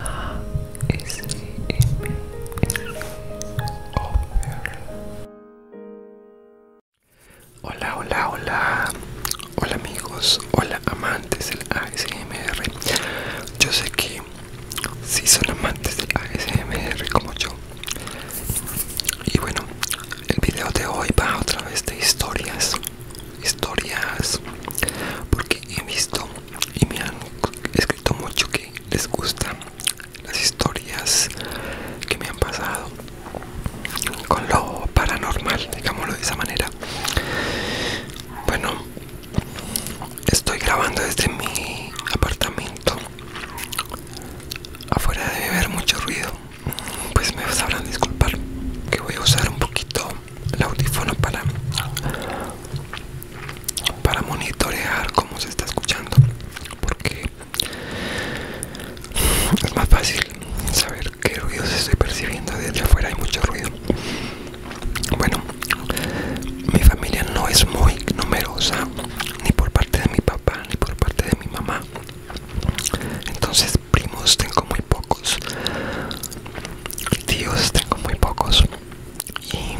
ASMR Hola, hola, hola. Hola amigos, hola amantes del ASMR. Yo sé que si son amantes del ASMR como yo. Y bueno, el video de hoy va otra vez de historias. Historias porque he visto y me han escrito mucho que les gustan las historias que me han pasado con lo paranormal, digámoslo de esa manera. Bueno, estoy grabando desde mi apartamento. Afuera debe haber mucho ruido. Pues me sabrán disculpar que voy a usar un poquito el audífono para para monitorear cómo se está escuchando porque es más fácil saber qué se estoy percibiendo desde afuera hay mucho ruido bueno mi familia no es muy numerosa ni por parte de mi papá ni por parte de mi mamá entonces primos tengo muy pocos tíos tengo muy pocos y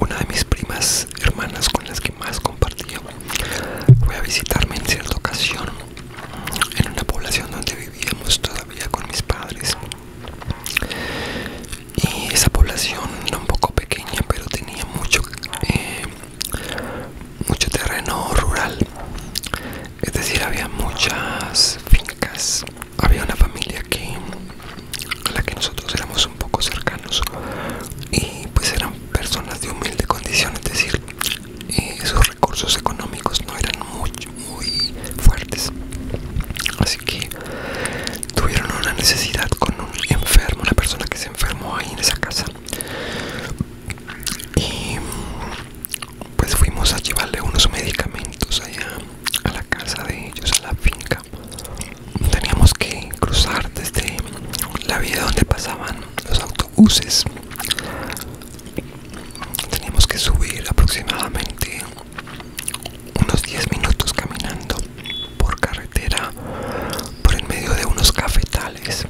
una de mis primas hermanas con las que más compartía fue a visitarme en cierta ocasión en una población donde vivíamos todavía con mis padres y esa población era un poco pequeña pero tenía mucho eh, mucho terreno rural es decir había muchas fincas había una familia que a la que nosotros éramos un poco cercanos y pues eran personas de humilde condición es decir esos eh, sus recursos económicos no eran muy muy fuertes así que tuvieron una necesidad con un enfermo la persona que se enfermó ahí en esa casa y pues fuimos a llevarle unos medicamentos allá a la casa de ellos, a la finca. Teníamos que cruzar desde la vía donde pasaban los autobuses. Teníamos que subir aproximadamente unos 10 minutos caminando por carretera por en medio de unos cafetales.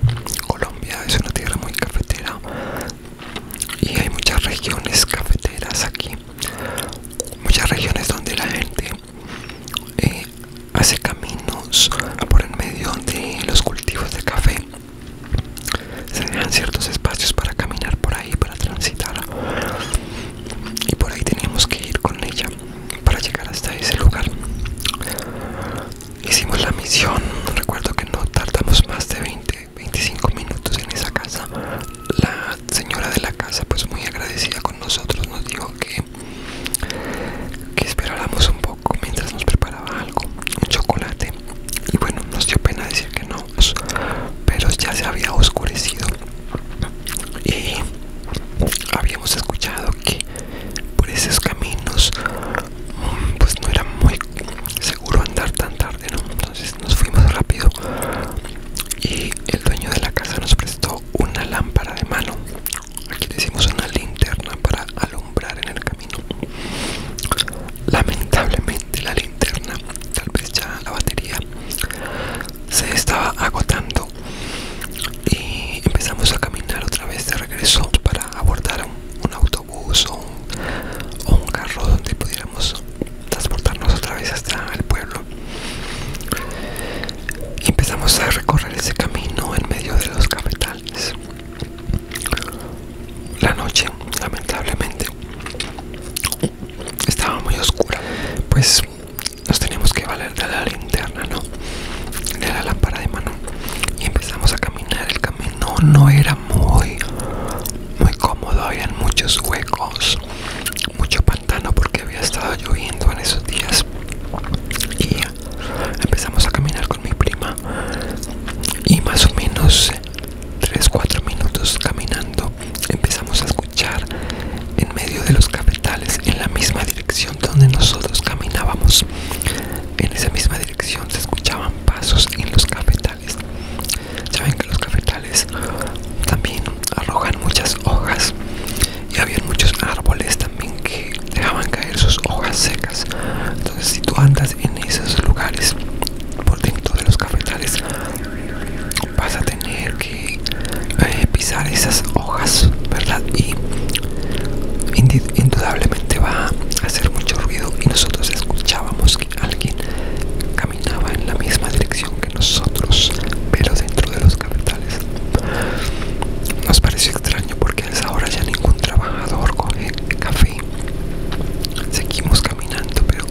Colombia es una tierra muy cafetera y hay muchas regiones cafeteras aquí muchas regiones donde la gente eh, hace caminos por en medio de los cultivos de café se dejan ciertos espacios para caminar por ahí para transitar y por ahí tenemos que ir con ella para llegar hasta ese lugar hicimos la misión recuerdo que no tardamos más de 20 25 minutos en esa casa la señora de la casa pues muy agradecida con nosotros nos dijo que que esperáramos un poco mientras nos preparaba algo un chocolate y bueno nos dio pena decir que no pero ya se había oscurecido y habíamos escuchado que por esos caminos pues no era muy seguro andar tan tarde entonces nos fuimos rápido y el dueño de la casa nos prestó una lámpara de mano. Aquí decimos una linterna para alumbrar en el camino. Lamentablemente la linterna, tal vez ya la batería, se estaba agotando y empezamos a caminar otra vez de regreso para abordar un, autobús o un carro donde pudiéramos transportarnos otra vez hasta el pueblo y empezamos a recorrer ese camino en medio de los cafetales la noche lamentablemente estaba muy oscura pues nos teníamos que valer de la linterna no de la lámpara de mano y empezamos a caminar el camino no era muy muy cómodo había muchos huecos mucho pantano porque había estado lloviendo en esos días y empezamos a caminar con mi prima y más o menos 3-4 minutos caminando empezamos a escuchar en medio de los cafetales en la misma dirección donde nosotros caminábamos en esa misma dirección se escuchaban pasos en los cafetales Saben que los cafetales también arrojan muchas hojas y había muchos árboles también que dejaban caer sus hojas secas. Entonces si tú andas en esos lugares por dentro de los cafetales vas a tener que eh, pisar esas hojas, ¿verdad? Y indudablemente va a hacer mucho ruido y nosotros escuchábamos que alguien caminaba en la misma dirección que nosotros, pero dentro de los capitales. Nos pareció extraño porque a esa hora ya ningún trabajador coge café. Seguimos caminando, pero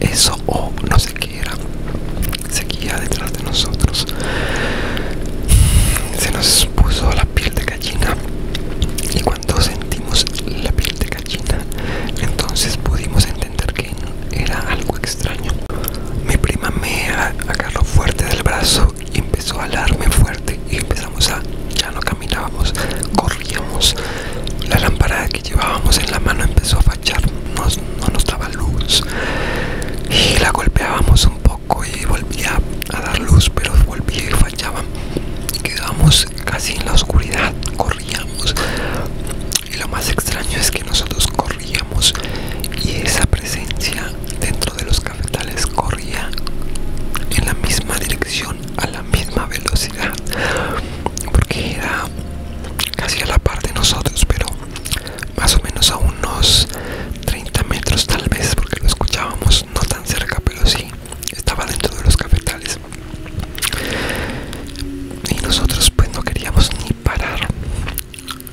eso o no sé qué era, seguía detrás de nosotros. Se nos puso la piel de gallina y cuando sentimos la piel de gallina, entonces pudimos entender que era algo extraño. Mi prima me agarró fuerte del brazo y empezó a hablarme fuerte y empezamos a... ya no caminábamos, corríamos. La lámpara que llevábamos en la mano empezó a fachar, no nos daba luz y la golpeábamos un poco y volvía a dar luz, pero volvía y fallaba. Quedábamos casi en la oscuridad, corríamos. Y lo más extraño es que nosotros corríamos y esa presencia dentro de los cafetales corría en la misma dirección, a la misma velocidad, porque era casi a la par de nosotros, pero más o menos a unos 30 metros tal vez, porque lo escuchábamos no tan cerca, pero sí, estaba dentro de los cafetales y nosotros pues no queríamos ni parar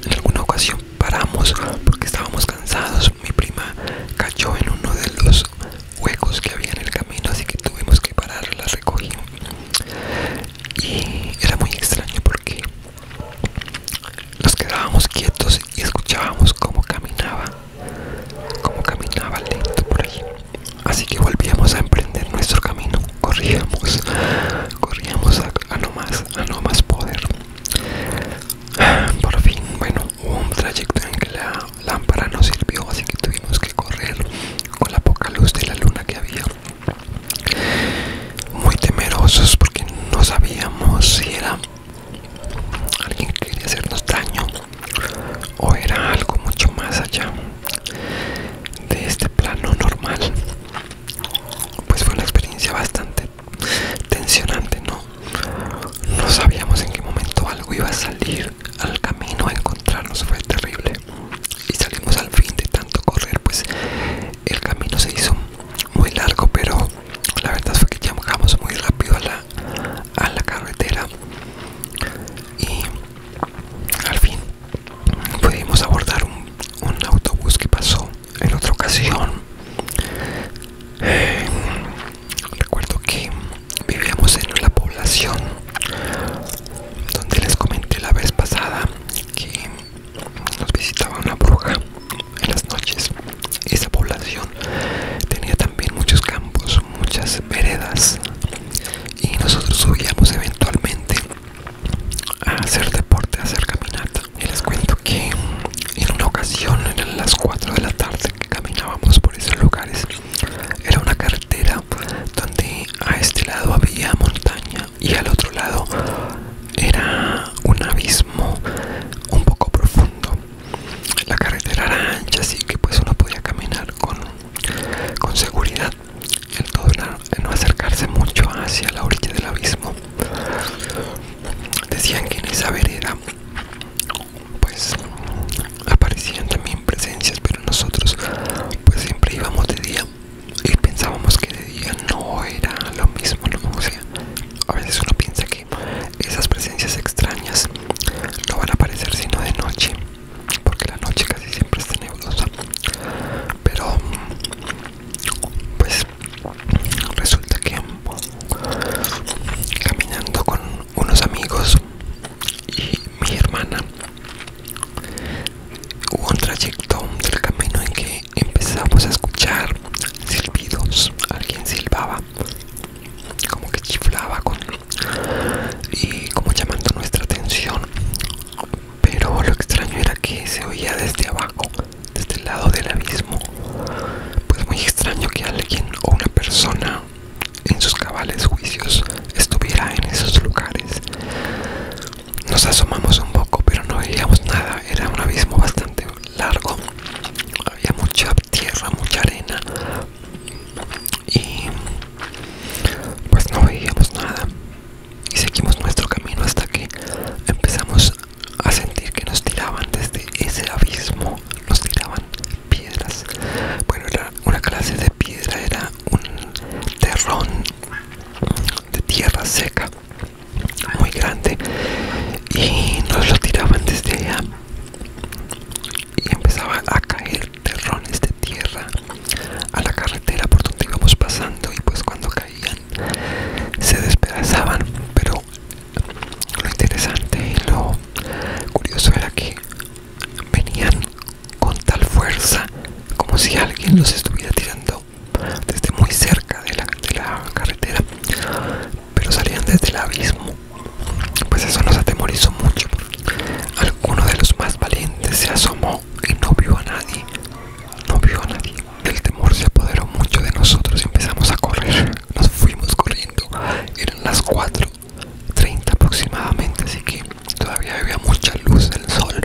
en alguna ocasión paramos porque estábamos cansados mi prima cayó en uno de los huecos que había en el camino así que tuvimos que parar la recogí y era muy extraño porque nos quedábamos quietos y escuchábamos cómo caminaba como caminaba lento por ahí Así que volvíamos a emprender nuestro camino, corríamos, corríamos a, no más, a no más poder. Por fin, bueno, hubo un trayecto en que la lámpara no sirvió, así que tuvimos que correr con la poca luz de la luna que había. Muy temerosos porque no sabíamos si era alguien que quería hacernos daño o era algo mucho más allá de este plano normal pues fue una experiencia bastante tensionante no no sabíamos en qué momento algo iba a salir al camino a encontrarnos fue terrible y salimos al fin de tanto correr pues el camino se hizo muy largo pero la verdad fue que llegamos muy rápido a la, a la carretera y al fin pudimos abordar un, autobús que pasó en otra ocasión. Eh, recuerdo que vivíamos en la población donde les comenté la vez pasada que nos visitaba una bruja en las noches. Esa población tenía también muchos campos, muchas veredas y nosotros subíamos eventualmente a hacer deporte, a hacer caminata. Y les cuento que en una ocasión, en las 4 de la tarde que caminábamos por esos lugares, era una carretera donde a este lado había montaña y al otro lado era un abismo un poco profundo. La carretera era ancha, así que pues uno podía caminar con, con seguridad el todo no acercarse mucho hacia la orilla del abismo decían que en esa vereda pues aparecían también presencias pero nosotros pues siempre íbamos de día y pensábamos que de día no era lo mismo o a veces uno piensa que esas presencias extrañas no van a aparecer sino de noche porque la noche casi siempre está nebulosa pero pues resulta que caminando con unos amigos y mi hermana hubo un trayecto del camino en que empezamos a escuchar silbidos alguien silbaba como que chiflaba con y como llamando nuestra atención pero lo extraño era que se oía desde abajo desde el lado del abismo pues muy extraño que alguien o una persona en sus cabales juicios estuviera en esos lugares nos asomamos un poco pero no veíamos nada era un abismo bastante largo había mucha tierra mucha arena y pues no veíamos nada y seguimos nuestro camino hasta que empezamos a sentir que nos tiraban desde ese abismo nos tiraban piedras bueno era una clase de piedra era un terrón de tierra seca muy grande y nos lo tiraban desde allá y empezaba a caer terrones de tierra a la carretera por donde íbamos pasando y pues cuando caían se despedazaban pero lo interesante y lo curioso era que venían con tal fuerza como si alguien los estuviera tirando desde muy cerca de la, carretera pero salían desde el abismo pues eso nos atemorizó mucho alguno de los más valientes se asomó y no vio a nadie. No vio a nadie. El temor se apoderó mucho de nosotros y empezamos a correr. Nos fuimos corriendo. Eran las 4.30 aproximadamente, así que todavía había mucha luz del sol.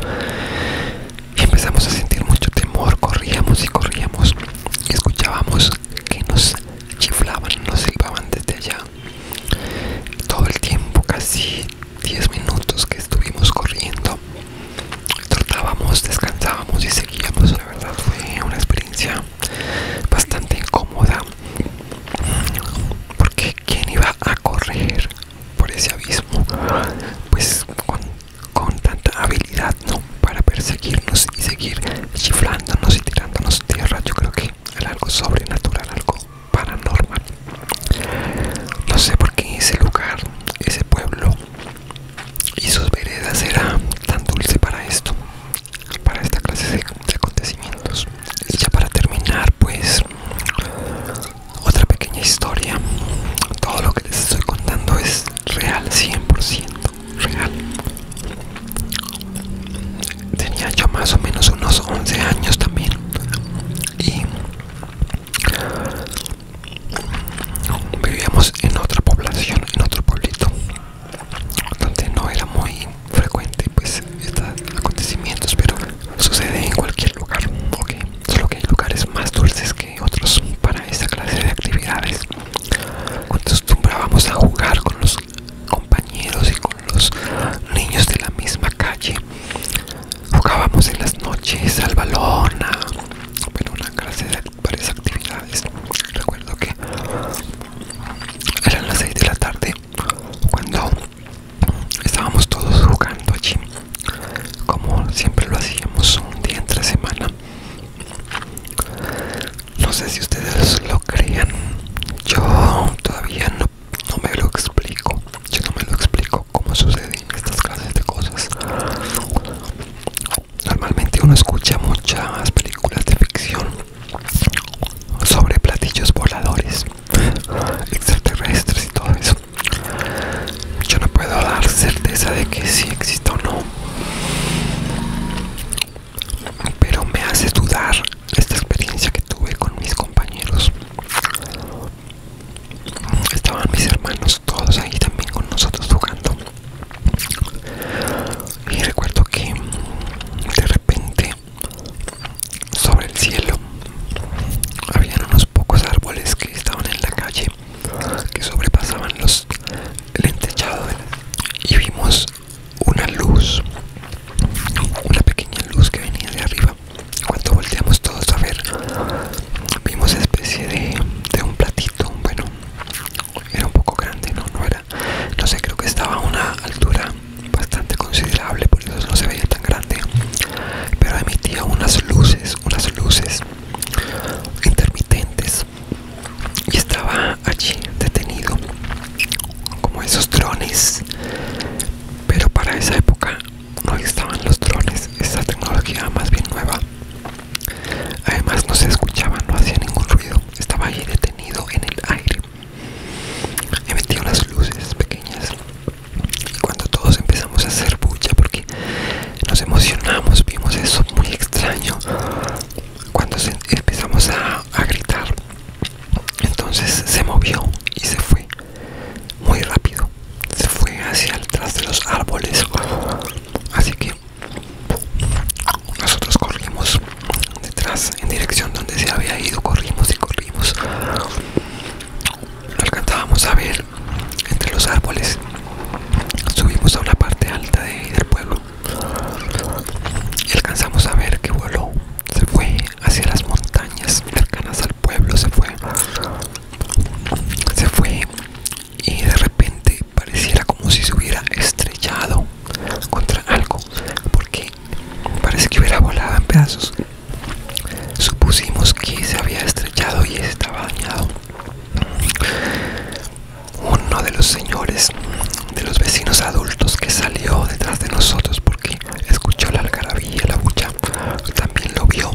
Y empezamos a sentir mucho temor. Corríamos y corríamos escuchábamos que nos chiflaban, nos silbaban desde allá todo el tiempo casi 10 minutos que estuvimos corriendo trotábamos descansábamos y seguíamos la verdad fue una experiencia bastante incómoda porque quién iba a correr por ese abismo pues con, tanta habilidad no para perseguirnos y seguir chiflándonos y tirándonos tierra yo creo que era algo sobrenatural algo paranormal. No sé por qué ese lugar, ese pueblo y sus veredas era tan dulce para esto, para esta clase de, acontecimientos. Y ya para terminar, pues otra pequeña historia. Todo lo que les estoy contando es real, 100% real. Tenía yo más o menos unos 11 años también y vivíamos en otra población, en otro pueblito donde no era muy frecuente pues estos acontecimientos pero sucede en cualquier lugar solo que hay lugares más dulces que otros para esta clase de actividades acostumbrábamos a jugar con los compañeros y con los niños de la misma calle jugábamos en las noches al balón bueno una clase de varias actividades recuerdo que eran las 6 de la tarde cuando estábamos todos jugando allí como siempre lo hacíamos un día entre semana no sé si ustedes lo crean yo todavía no no me lo explico. Yo no me lo explico cómo suceden estas clases de cosas. Normalmente uno escucha muchas películas de ficción sobre platillos voladores, extraterrestres y todo eso. Yo no puedo dar certeza de que sí existe o no, pero me hace dudar esta experiencia que tuve con mis compañeros estaban mis hermanos todos ahí también con nosotros jugando y recuerdo que de repente sobre el cielo habían unos pocos árboles que estaban en la calle que sobrepasaban los el y vimos una luz una pequeña luz que venía de arriba cuando volteamos todos a ver, vimos especie de, un platito. Bueno, era un poco grande, no, no era. No sé, creo que estaba a una altura bastante considerable, por eso no se veía tan grande. Pero emitía unas luces, unas luces intermitentes. Y estaba allí detenido, como esos drones. Pero para esa época no estaban los drones, esta tecnología más bien nueva. Además no se escuchaba, no hacía ningún ruido, estaba ahí detenido en el aire. metido las luces pequeñas y cuando todos empezamos a hacer bulla porque nos emocionamos, vimos eso muy extraño cuando empezamos a gritar entonces se movió y se fue muy rápido se fue hacia atrás de los árboles así que nosotros corrimos detrás en dirección donde se había ido corrimos y corrimos lo alcanzábamos a ver entre los árboles subimos a una parte alta del pueblo y alcanzamos a ver que voló se fue hacia las montañas cercanas al pueblo se fue se fue y de repente pareciera como si se hubiera estrellado contra algo porque parece que hubiera volado en pedazos supusimos que se había estrellado y estaba dañado uno de los señores de los vecinos adultos que salió detrás de nosotros porque escuchó la y la bucha, también lo vio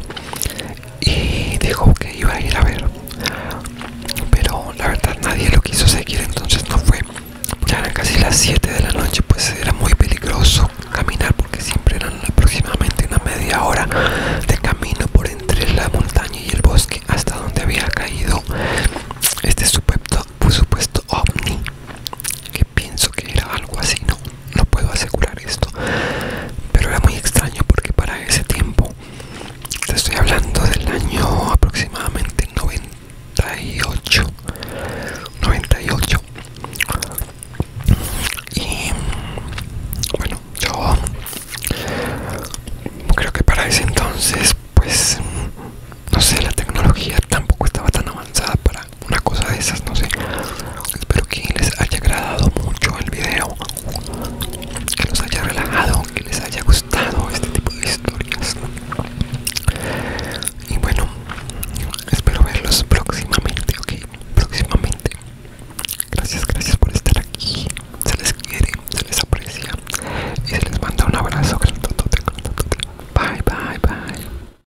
y dijo que iba a ir a ver. Pero la verdad nadie lo quiso seguir, entonces no fue. Ya eran casi las 7 de la noche, pues era muy peligroso caminar porque siempre eran aproximadamente una media hora de camino por entre la montaña y el bosque hasta donde había caído este supuesto ovni que pienso que era algo así, no, no puedo asegurar esto, pero era muy extraño porque para ese tiempo, te estoy hablando del año aproximadamente 98, 98, y bueno, yo creo que para ese entonces, pues no sé, la tecnología tampoco estaba tan avanzada para una cosa de esas, no sé. Espero que les haya agradado mucho el video, que los haya relajado, que les haya gustado este tipo de historias. Y bueno, espero verlos próximamente, ok, próximamente. Gracias, gracias por estar aquí. Se les quiere, se les aprecia y les manda un abrazo. Bye, bye, bye.